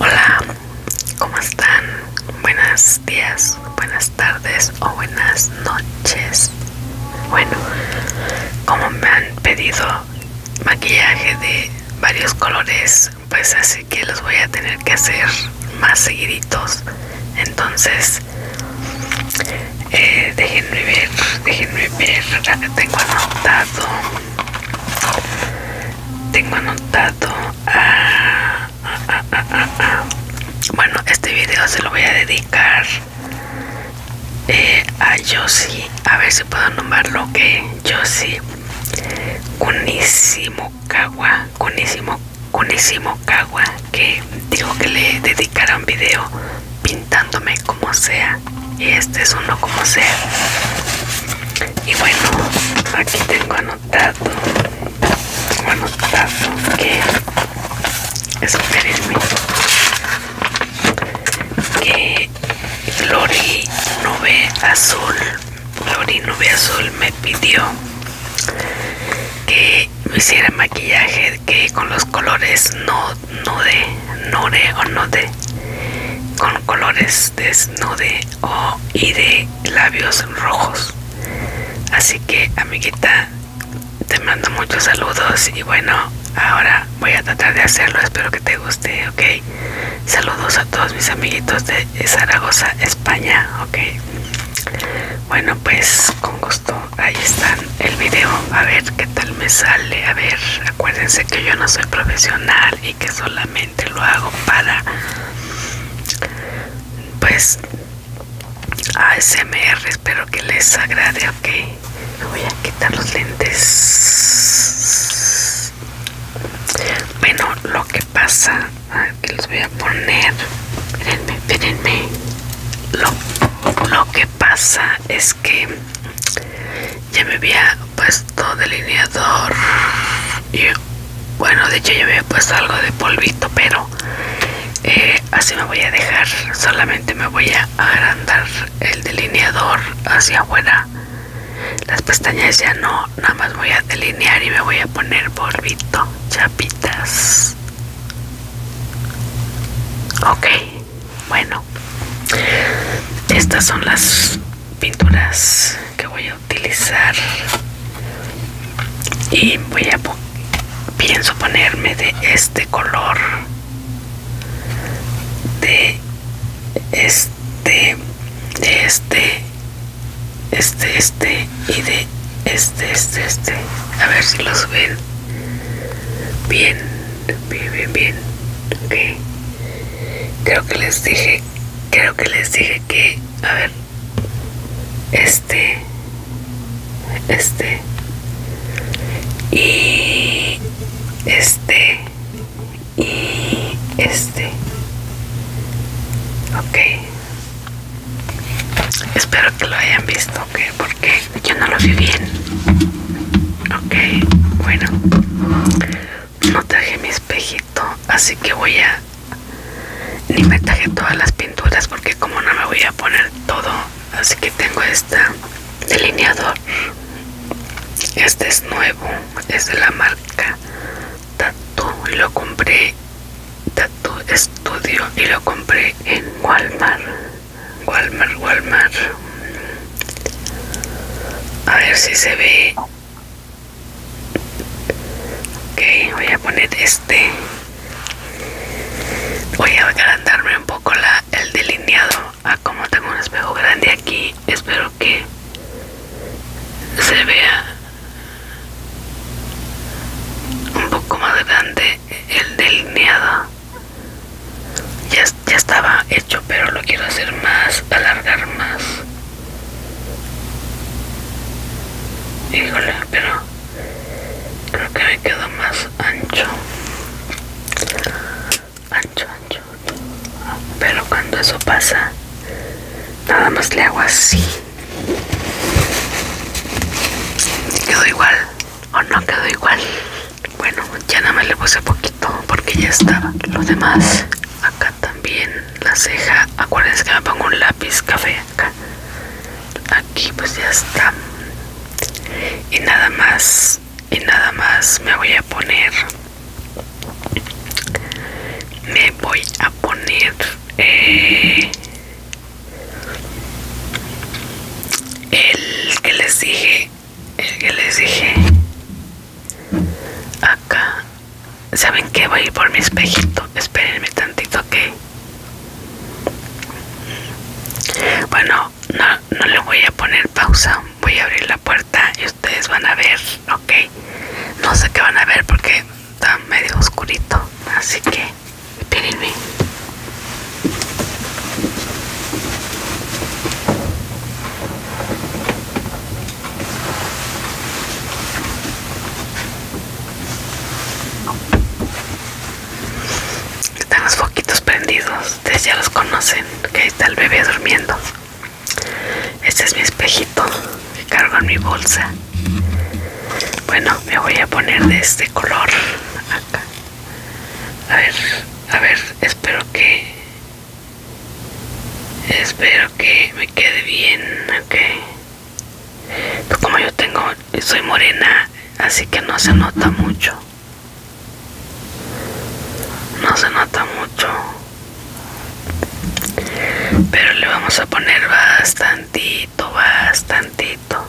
Hola, ¿cómo están? Buenos días, buenas tardes o buenas noches. Bueno, como me han pedido maquillaje de varios colores, pues así que los voy a tener que hacer más seguiditos. Entonces, eh, déjenme ver, déjenme ver, tengo anotado tengo anotado bueno este video se lo voy a dedicar eh, a Josie a ver si puedo nombrarlo que Josie sí Kawa conísimo que dijo que le dedicara un video pintándome como sea y este es uno como sea y bueno aquí tengo anotado anotado que es que Lori Nube Azul Lori Nube Azul me pidió que me hiciera maquillaje que con los colores no no de o no de con colores de nude O y de labios rojos. Así que amiguita, te mando muchos saludos y bueno, ahora voy a tratar de hacerlo, espero que te guste, ok. Saludos a todos mis amiguitos de Zaragoza, España, ok. Bueno, pues con gusto, ahí está el video, a ver qué tal me sale, a ver, acuérdense que yo no soy profesional y que solamente lo hago para pues ASMR espero que les agrade ok me voy a quitar los lentes bueno lo que pasa que los voy a poner Mirenme, lo, lo que pasa es que ya me había puesto delineador y bueno de hecho ya me había puesto algo de polvito pero eh, así me voy a dejar solamente me voy a agrandar el delineador hacia afuera las pestañas ya no nada más voy a delinear y me voy a poner polvito chapitas ok bueno estas son las pinturas que voy a utilizar y voy a pienso ponerme de este color de este de este este este y de este este este a ver si los ven bien bien bien bien ok creo que les dije creo que les dije que a ver este este y este y este ok espero que lo hayan visto ok porque yo no lo vi bien ok bueno no traje mi espejito así que voy a ni me traje todas las pinturas porque como no me voy a poner todo así que tengo este delineador este es nuevo es de la marca Tattoo, y lo compré Tattoo Studio y lo compré en Walmart Walmart Walmart a ver si se ve ok voy a poner este voy a agrandarme un poco la, el delineado ah, como tengo un espejo grande aquí espero que se vea un poco más grande el delineado ya, estaba hecho pero lo quiero hacer más alargar más híjole pero creo que me quedó más ancho ancho ancho pero cuando eso pasa nada más le hago así quedó igual o no quedó igual bueno, ya nada más le puse poquito porque ya estaba. Lo demás, acá también la ceja. Acuérdense que me pongo un lápiz café acá. Aquí pues ya está. Y nada más, y nada más me voy a poner. Me voy a poner eh, el que les dije el que les dije acá saben que voy a ir por mi espejito espérenme tantito que bueno no, no le voy a poner pausa voy a abrir la puerta y ustedes van a ver ok no sé qué van a ver porque está medio oscurito así que espérenme están los foquitos prendidos, ustedes ya los conocen, que ahí está el bebé durmiendo. Este es mi espejito que cargo en mi bolsa. Bueno, me voy a poner de este color acá. A ver, a ver, espero que Espero que me quede bien, ok. Pues como yo tengo, soy morena, así que no se nota mucho. No se nota mucho. Pero le vamos a poner bastantito, bastantito.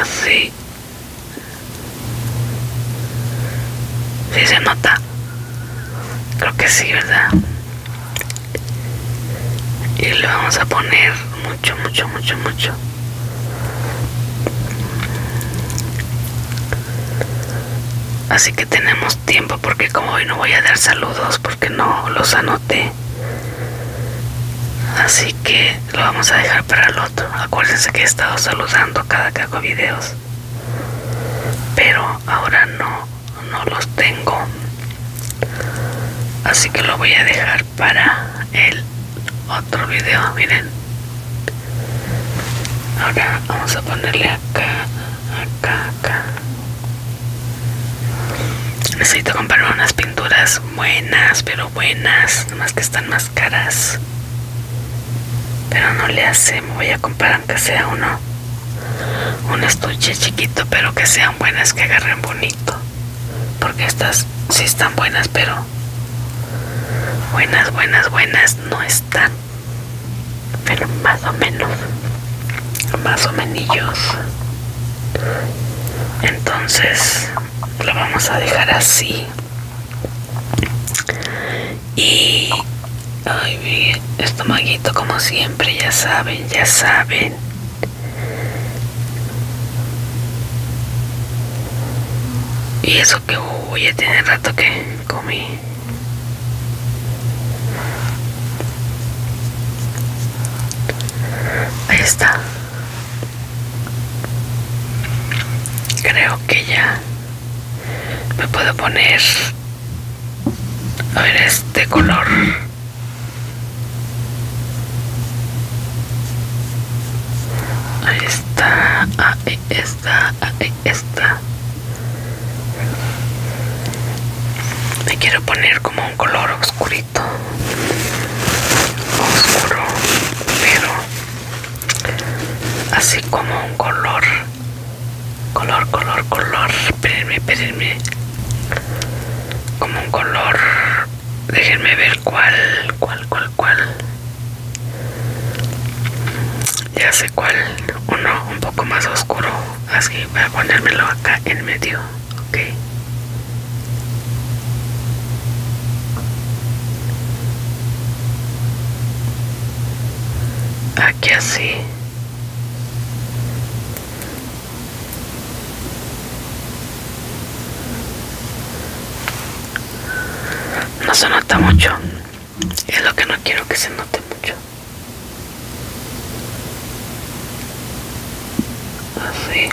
Así, si se nota. Creo que sí, ¿verdad? Y le vamos a poner mucho, mucho, mucho, mucho. Así que tenemos tiempo porque como hoy no voy a dar saludos porque no los anoté. Así que lo vamos a dejar para el otro. Acuérdense que he estado saludando cada que hago videos. Pero ahora no, no los tengo. Así que lo voy a dejar para el otro video. Miren. Ahora vamos a ponerle acá, acá, acá. Necesito comprar unas pinturas buenas, pero buenas, nomás que están más caras. Pero no le hace, me voy a comprar aunque sea uno. Un estuche chiquito, pero que sean buenas, que agarren bonito. Porque estas sí están buenas, pero buenas, buenas, buenas no están. Pero más o menos. Más o menos. Entonces lo vamos a dejar así y ay bien... estomaguito como siempre ya saben ya saben y eso que voy a tener rato que comí ahí está Creo que ya me puedo poner a ver este color. Ahí está, ahí está, ahí está. Me quiero poner como un color oscuro oscuro pero así como un color color color color esperenme, esperenme, como un color déjenme ver cuál cuál cuál cuál ya sé cuál uno un poco más oscuro así voy a ponérmelo acá en medio ok aquí así no se nota mucho es lo que no quiero que se note mucho así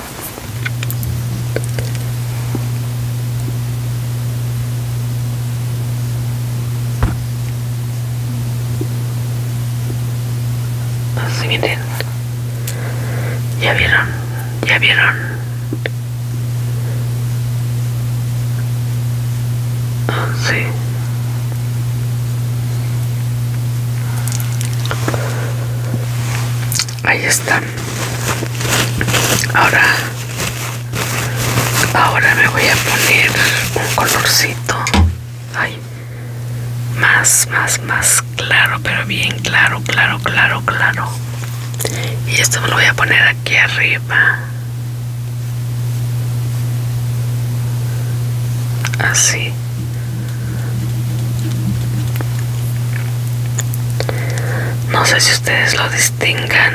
así miren ya vieron ya vieron así ahí está ahora ahora me voy a poner un colorcito más más más claro pero bien claro claro claro claro y esto me lo voy a poner aquí arriba así no sé si ustedes lo distingan.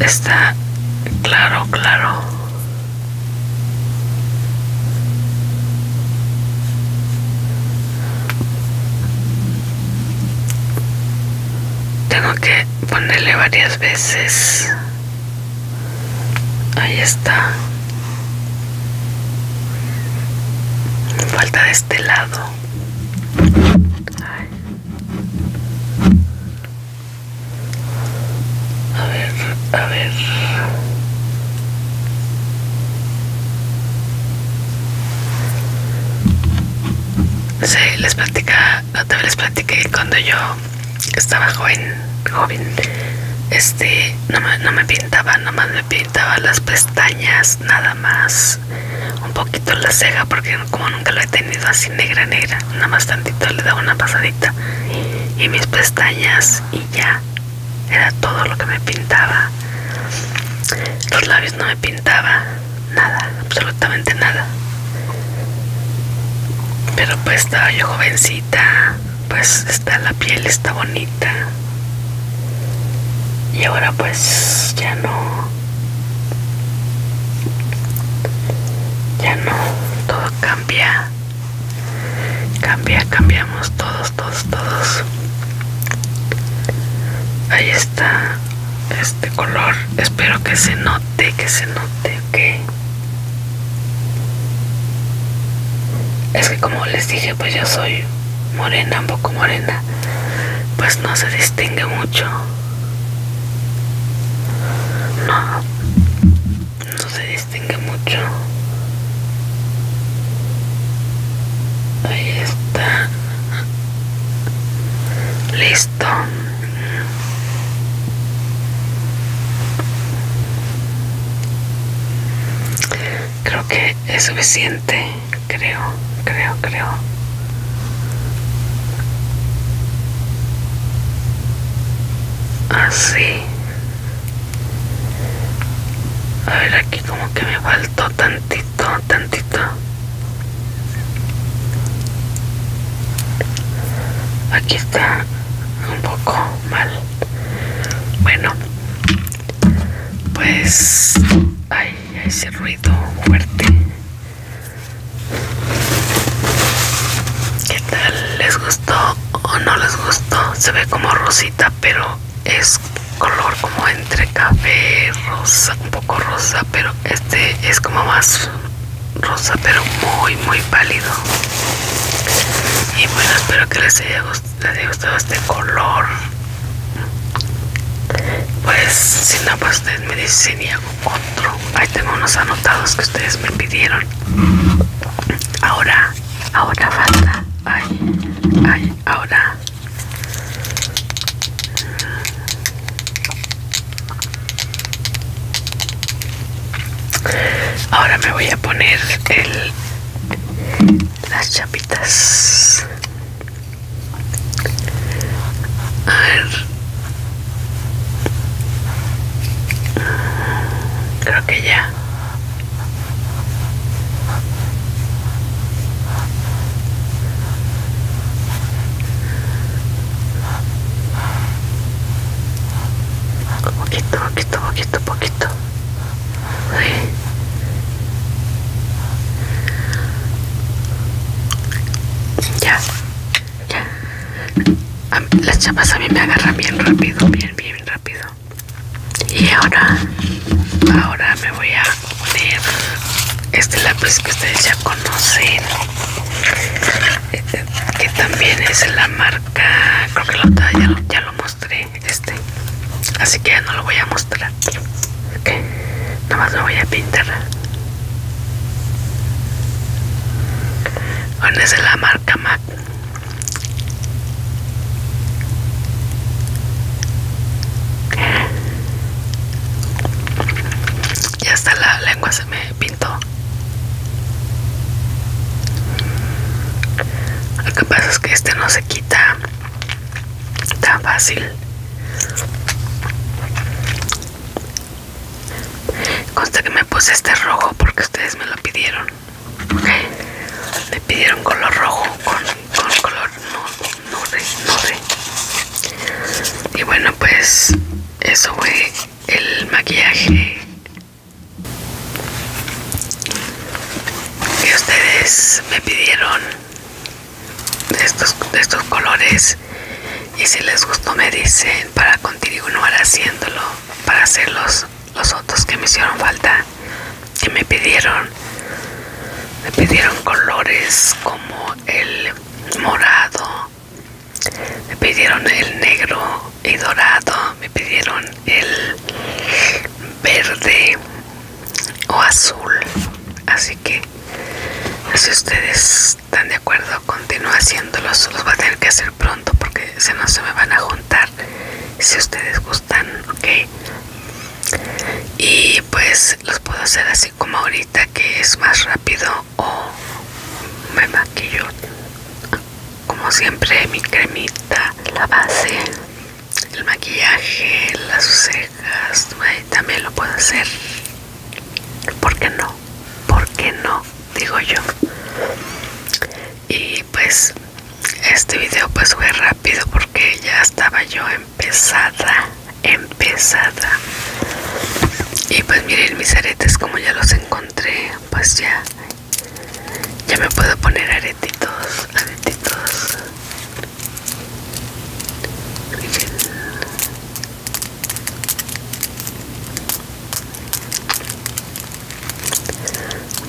Está claro, claro. Tengo que ponerle varias veces Ahí está. Falta de este lado. A ver, a ver. Sí, les platica, no te les platicé cuando yo estaba joven, joven, este, no me, pintaba me pintaba, nomás me pintaba las pestañas, nada más, un poquito la ceja, porque como nunca lo he tenido así negra, negra, nada más tantito le daba una pasadita, y mis pestañas, y ya, era todo lo que me pintaba. Los labios no me pintaba, nada, absolutamente nada. Pero pues estaba yo jovencita, pues está la piel está bonita y ahora pues ya no ya no todo cambia cambia cambiamos todos todos todos ahí está este color espero que se note que se note ok es que como les dije, pues yo soy morena, un poco morena. Pues no se distingue mucho. No. No se distingue mucho. Ahí está. Listo. Creo que es suficiente, creo, creo, creo. Así. A ver, aquí como que me faltó tantito, tantito. Aquí está un poco mal. Bueno, pues ay, ese ruido fuerte. ¿Qué tal? ¿Les gustó o no les gustó? Se ve como rosita, pero es color como entre café, rosa, un poco rosa, pero este es como más rosa, pero muy, muy pálido y bueno espero que les haya, gustado, este color pues si no pues ustedes me dicen y hago otro ahí tengo unos anotados que ustedes me pidieron ahora ahora falta ay ay ahora Ahora me voy a poner el, las chapitas. A ver. Creo que ya poquito, poquito, poquito, poquito. Ya, ya. las chapas a mí me agarran bien rápido, bien, bien rápido. Y ahora, ahora me voy a poner este lápiz que ustedes ya conocen, que también es la marca creo que la otra ya, ya lo mostré este así que ya no lo voy a mostrar nomás lo voy a pintar bueno es la marca MAC ya está la lengua se me pintó lo que pasa es que este no se quita tan fácil. Consta que me puse este rojo porque ustedes me lo pidieron. Me pidieron color rojo con, color nude. Y bueno, pues eso fue el maquillaje y ustedes me pidieron de estos, colores y si les gustó me dicen para continuar haciéndolo para hacer los, otros que me hicieron falta que me pidieron me pidieron colores como el morado me pidieron el negro y dorado me pidieron el verde o azul así que si ustedes están de acuerdo continúo haciéndolos los voy a tener que hacer pronto porque si no se me van a juntar si ustedes gustan ok y pues los puedo hacer así como ahorita que es más rápido o me maquillo como siempre mi cremita la base el maquillaje las cejas también lo puedo hacer porque no? porque no? digo yo y pues este video pues fue rápido porque ya estaba yo empezada empezada y pues miren mis aretes como ya los encontré pues ya ya me puedo poner aretitos aretitos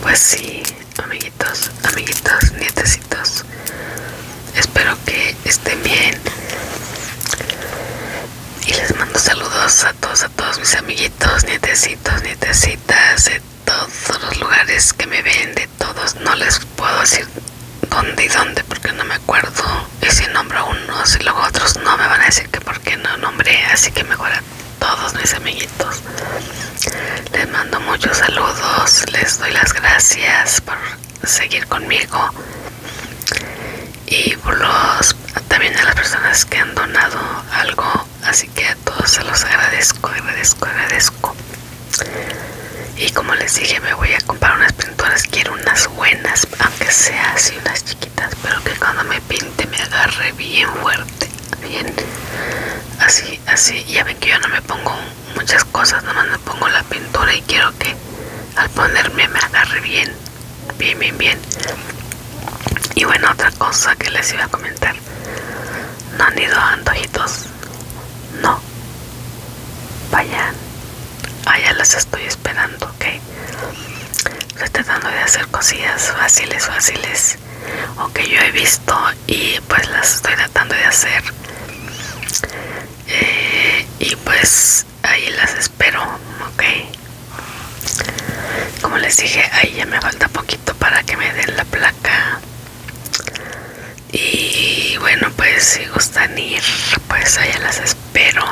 pues sí amiguitos amiguitos nietecitos espero que estén bien y les mando saludos a todos, a todos mis amiguitos, nietecitos, nietecitas, de todos los lugares que me ven, de todos. No les puedo decir dónde y dónde porque no me acuerdo. Y si nombro a unos y luego a otros no me van a decir que por qué no nombré. Así que mejor a todos mis amiguitos. Les mando muchos saludos, les doy las gracias por seguir conmigo y por los también a las personas que han donado algo así que a todos se los agradezco agradezco agradezco y como les dije me voy a comprar unas pinturas quiero unas buenas aunque sea así unas chiquitas pero que cuando me pinte me agarre bien fuerte bien así así ya ven que yo no me pongo muchas cosas nomás me pongo la pintura y quiero que al ponerme me agarre bien Bien, bien, bien. Y bueno, otra cosa que les iba a comentar. ¿No han ido antojitos? No. Vayan. Allá ah, las estoy esperando, ¿ok? Estoy tratando de hacer cosillas fáciles, fáciles. O que yo he visto y pues las estoy tratando de hacer. Eh, y pues ahí las espero, ok. Como les dije, ahí ya me falta poquito para que me den la placa. Y bueno, pues si gustan ir, pues allá las espero.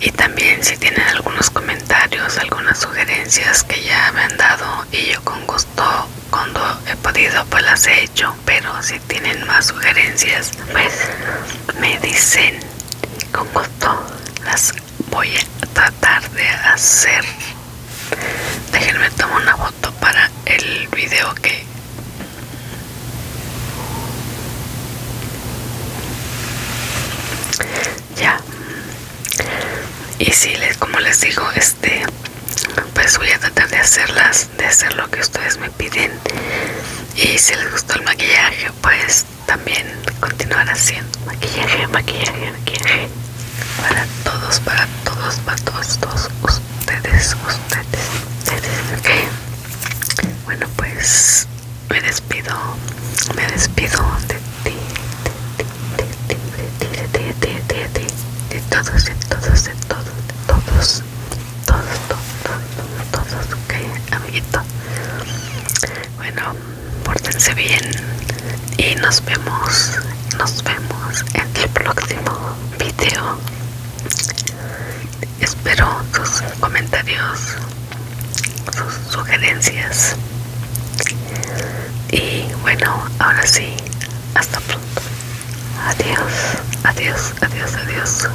Y también si tienen algunos comentarios, algunas sugerencias que ya me han dado y yo con gusto cuando he podido pues las he hecho. Pero si tienen más sugerencias, pues me dicen con gusto las voy a tratar de hacer déjenme tomar una foto para el video que ya y si les como les digo este pues voy a tratar de hacerlas de hacer lo que ustedes me piden y si les gustó el maquillaje pues también continuar haciendo maquillaje, maquillaje, maquillaje para todos, para todos, para todos, todos ustedes, ustedes, ustedes, ok. Bueno, pues me despido, me despido de ti, de ti, de ti, de ti, de ti, de ti, de todos, de todos, de todos, de todos todos, todos, todos, todos, ok, amiguito. Bueno, pórtense bien y nos vemos, nos vemos en el próximo video. Espero sus comentarios, sus sugerencias. Y bueno, ahora sí, hasta pronto. Adiós, adiós, adiós, adiós.